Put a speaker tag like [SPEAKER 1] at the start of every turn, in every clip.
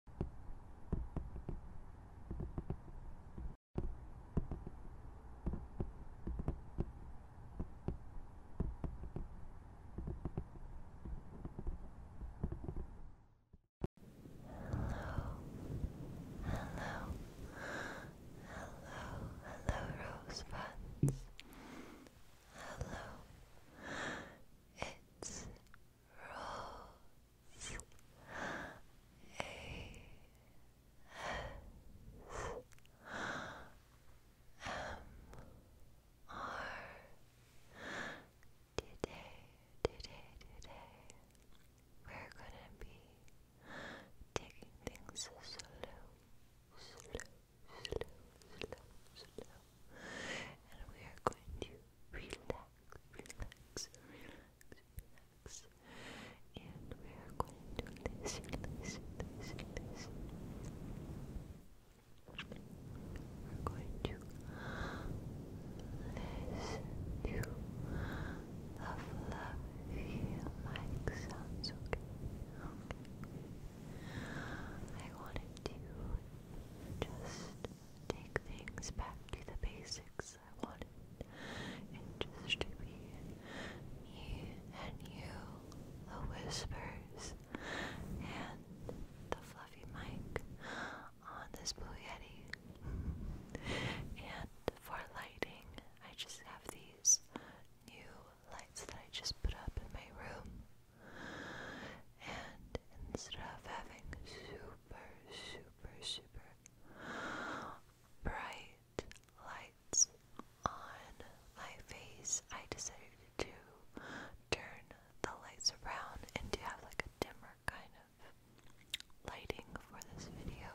[SPEAKER 1] hello, hello, rosebuds. Hello, it's Rose Today, today, today we're gonna be taking things slow, slow, slow, slow, slow, and we are going to relax, relax, relax. And we are going to listen, listen, listen, We're going to listen to the fluffy mic sounds, okay? Okay. I wanted to just take things back to the basics I wanted it just to be me and you, the whispers and the fluffy mic on this Blue Yeti. and for lighting, I just have these new lights that I just put up in my room. And instead of having super, super, super bright lights on my face, I decided to turn the lights around and to have like a dimmer kind of lighting for this video.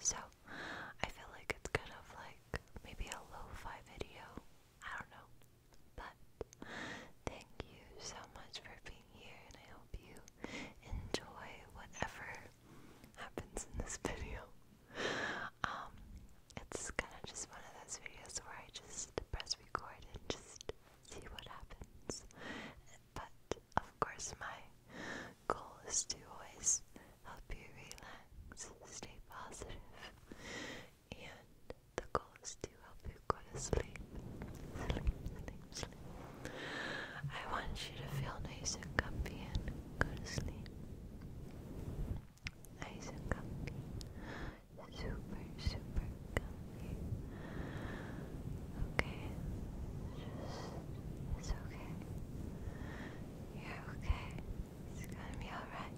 [SPEAKER 1] So I feel like it's kind of like maybe a lo fi video. I don't know. But thank you so much for being here, and I hope you enjoy whatever happens in this video. Um, it's kind of just one of those videos where I just press record and just see what happens. But of course, my goal is to always help you relax, stay positive, and the goal is to help you go to sleep. Sleep, sleep, I want you to feel nice and comfy and go to sleep. Nice and comfy. Super, super comfy. Okay. it's okay. You're okay. It's gonna be alright.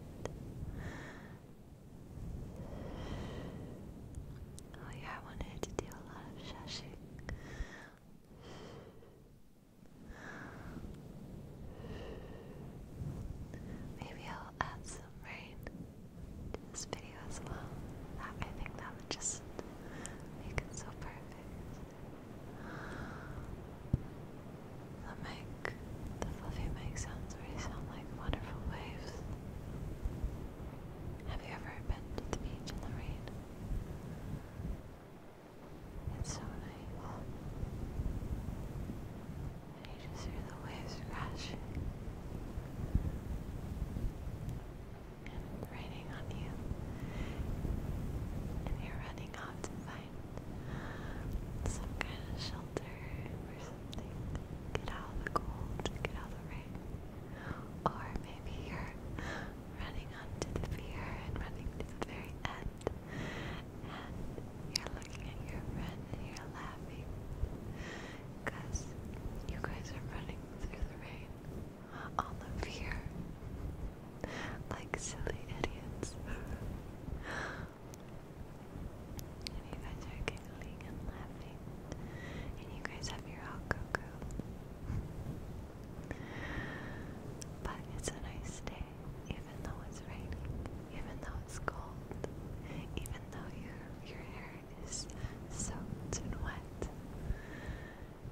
[SPEAKER 1] Oh yeah, I wanted to do a lot of shushing. Maybe I'll add some rain to this video as well. I think that would just make it so perfect that make the fluffy make sounds really sound like wonderful waves. Have you ever been to the beach in the rain? It's so nice. And you just hear the waves crashing. And it's raining on you. And you're running off to the some kind of shelter or something. Get out of the cold, get out of the rain. Or maybe you're running onto the pier and running to the very end, and you're looking at your friend and you're laughing you guys are running through the rain on the pier like silly idiots. And you guys are giggling and laughing. And you guys have your hot cocoa. but it's a nice day, even though it's raining, even though it's cold, even though your your hair is soaked and wet.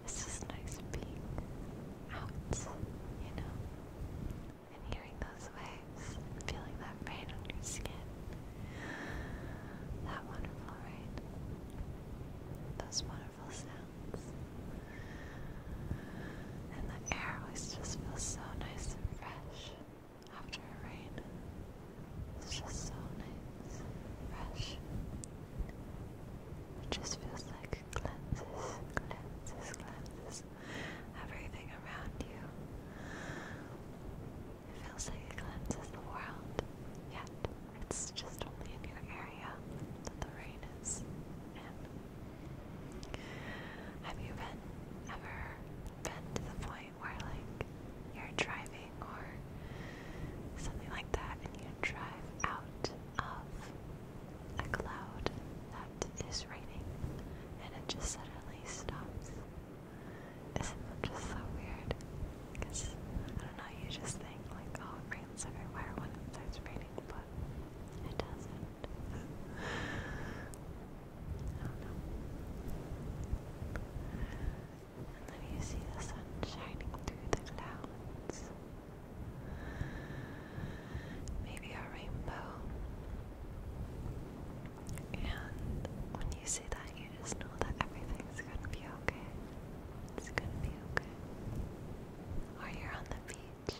[SPEAKER 1] It's just nice being out, you know and hearing those waves and feeling that rain on your skin. That wonderful rain. Those wonderful sounds. And the air always just feels so nice and fresh after a rain. It's just so nice fresh. It just feels like it cleanses, cleanses, cleanses everything around you. feels like it cleanses the world, yet it's just only in your area that the rain is Have you been ever to the point where like you're driving or something like that and you drive out of a cloud it is raining and it just suddenly stops. Isn't that just so weird? Because, I don't know, you just think like, oh, it rains everywhere when it starts raining, but it doesn't. And then you see the sun shining through the clouds maybe a rainbow. And when you see that, you just know that everything's gonna be okay. It's gonna be okay. Or you're on the beach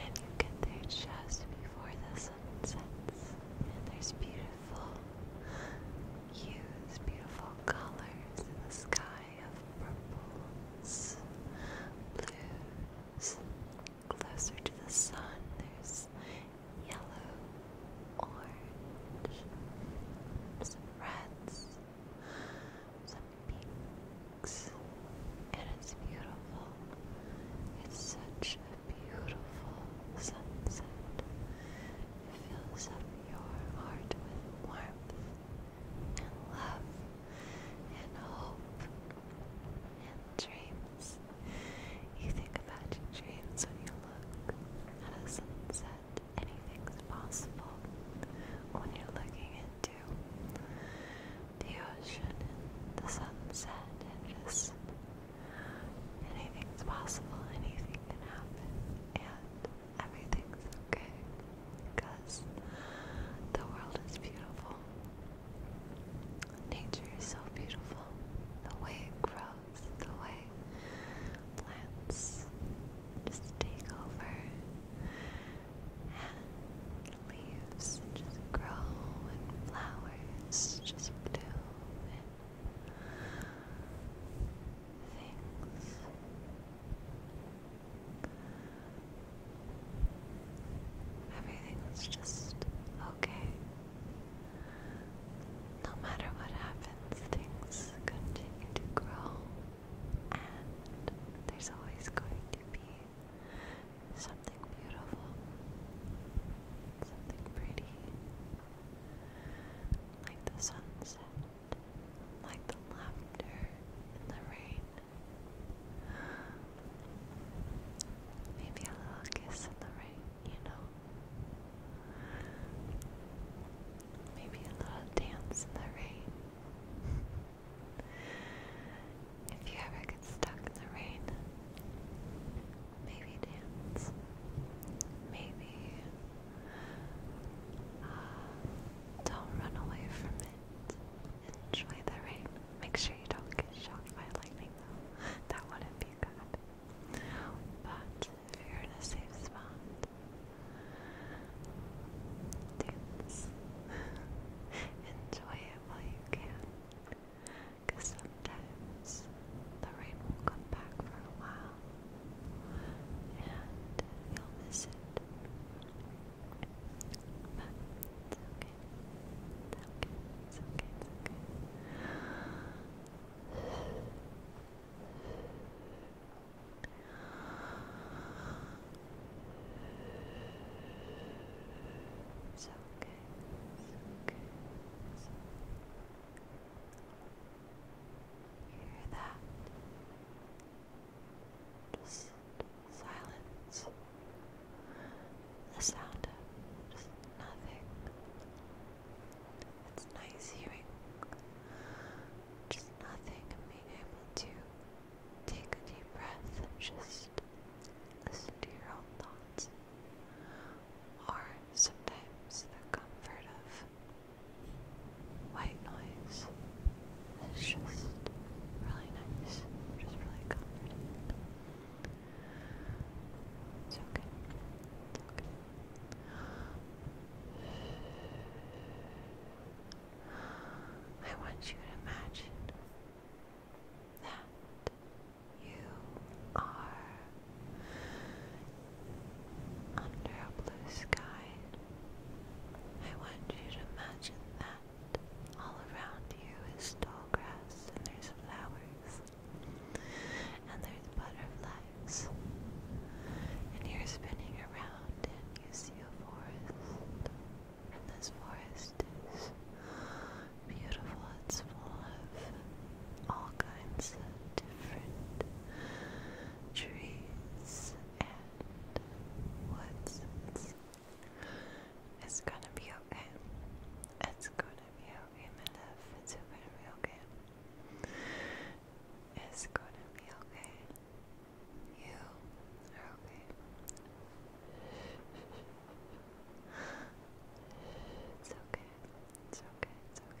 [SPEAKER 1] and you get there just before the sun sets, and there's beautiful hues, beautiful colors in the sky of purples, blues. Closer to the sun, there's yellow, orange, some reds, some pinks. And it's beautiful. It's such a beautiful sunset. It fills up your heart with warmth and love and hope and dreams. You think about your dreams when you look at a sunset. Anything's possible when you're looking into the ocean the sunset and just anything's possible, anything can happen and everything's okay because the world is beautiful. Nature is so beautiful. The way it grows, the way plants just take over and leaves just grow and flowers just bloom and things Everything was just okay. No matter what happens, things continue to grow, and there's always going to be something beautiful, something pretty, like the sunset like the laughter in the rain. Maybe a little kiss in the rain, you know? Maybe a little dance in the rain. if you ever get stuck in the rain, maybe dance. Maybe uh, don't run away from it. Enjoy the rain. Make sure you don't get shocked by lightning though. that wouldn't be good. But if you're in a safe spot, dance. Enjoy it while you can. Because sometimes the rain will come back for a while and you'll miss it. But it's okay. It's okay. It's okay. It's okay. It's okay. hear that? Just silence. The sound of just nothing. It's nice hearing just nothing and being able to take a deep breath just listen to your own thoughts. Or sometimes the comfort of white noise. It's just really nice, just really comforting. It's okay. It's okay. I want you to imagine that you are under a blue sky. I want you to imagine that all around you is tall grass and there's flowers and there's butterflies and you're spinning around and you see a forest and this forest is beautiful. It's full of all kinds of different trees and woods. It's gonna be okay. It's gonna be okay, my It's gonna be okay. It's gonna be okay. You are okay. It's okay. It's okay. It's okay.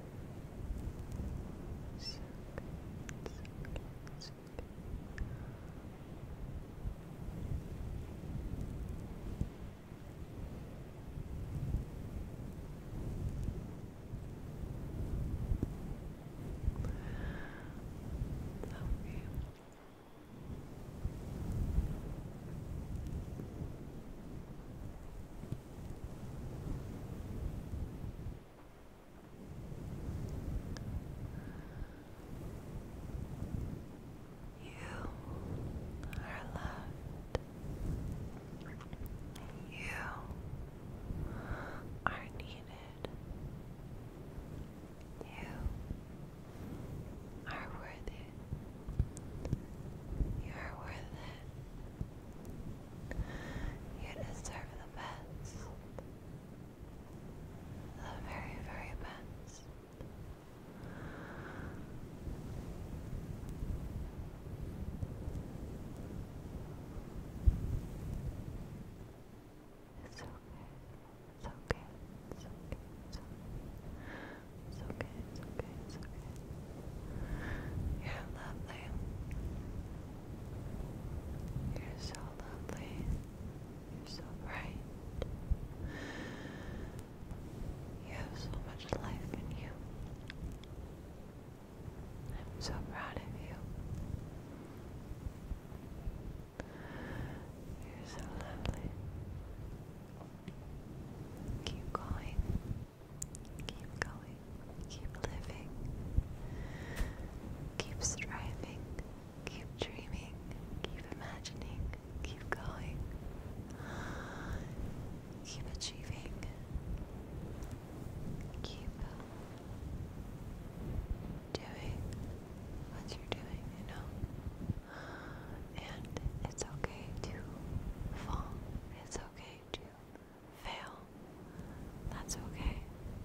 [SPEAKER 1] So good, so good, so good. Lovely. Good. You are loved. You are needed. You are worth You are worth it. You deserve the best. The very, very best. It's okay. It's okay. It's okay. It's okay. It's okay. It's okay. You're lovely. You're so lovely. You're so bright. You have so much life in you. I'm so proud of you. You're so lovely. Keep going. Keep going, keep living, keep striving, keep dreaming, keep imagining, keep going, keep achieving, keep doing what you're doing, you know? And it's okay to fall, it's okay to fail. That's okay.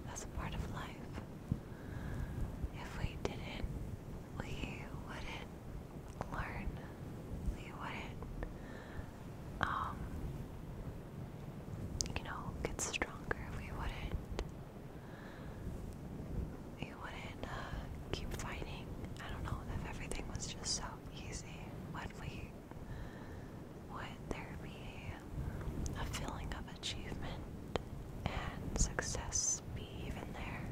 [SPEAKER 1] That's a part of life. If we didn't, we wouldn't learn. We wouldn't, um, you know, get stronger. We wouldn't. We wouldn't uh, keep fighting. I don't know if everything was just so easy would there be a feeling of achievement and success even there?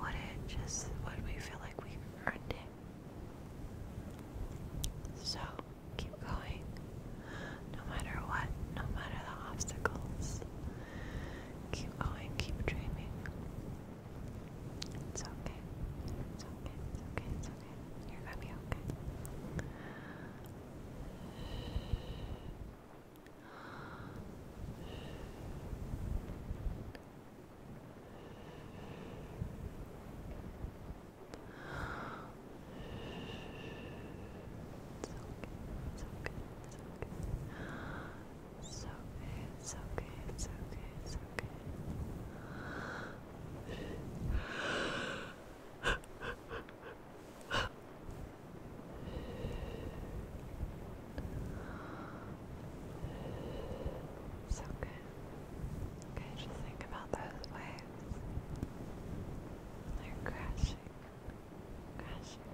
[SPEAKER 1] Would it just, would we feel like we earned it? So, keep going. No matter what, no matter the obstacles. Keep going, keep dreaming. It's okay. It's okay. It's okay. It's okay. You're gonna be okay. It's okay, it's okay, it's okay. It's okay, it's okay, it's okay, it's okay. It's okay. Okay, just think about those waves. They're crashing, crashing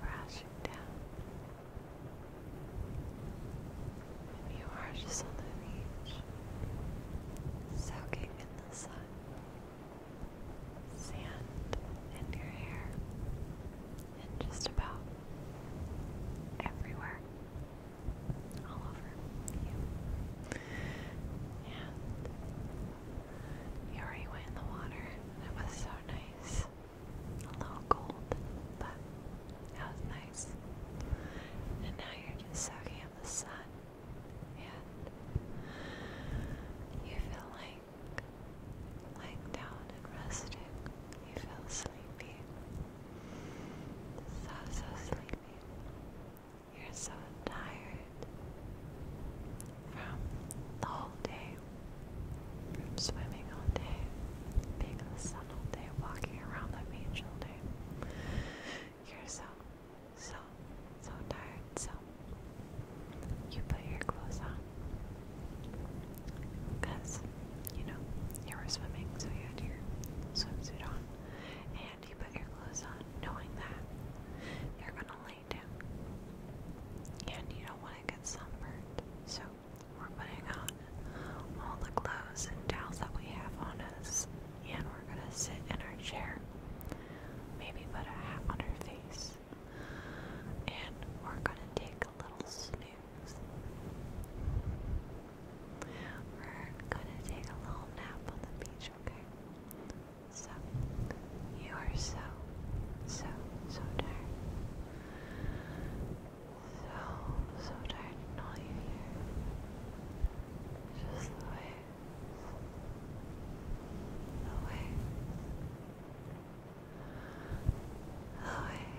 [SPEAKER 1] crashing touching down. If you are just on the beach, soaking in the sun, sand in your hair, and just about everywhere, all over you. And Yuri went in the water. It was so nice. A little cold, but that was nice. And now you're just soaking in the sun, and you feel like lying down and resting. You feel sleepy. So, so sleepy. You're so tired from the whole day, from swimming all day, being in the sun all day, walking around the beach all day. You're so, so, so tired. So you put your clothes on because you know you were swimming, so you had your swimsuit on, and you put your clothes on, knowing that you're gonna and you don't want to get sunburned. So we're putting on all the clothes and towels that we have on us. And we're going to sit in our chair. Maybe put a hat on her face. And we're going to take a little snooze. We're going to take a little nap on the beach, okay? So, you are so, so, so tired. So, so tired and all you hear. Just the waves. The waves. The waves.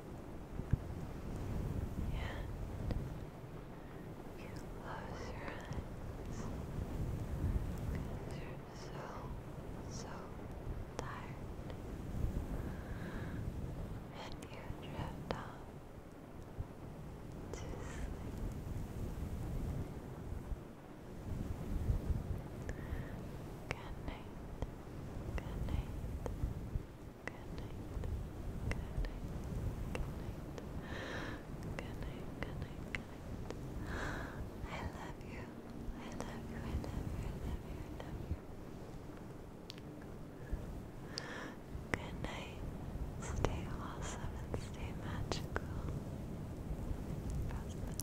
[SPEAKER 1] And you close your eyes you're so, so tired. And you drift off to sleep. Good night. Good night. I love you. I love you. I love you. I love you. I love you. Good night. Stay awesome stay magical. Prosperous.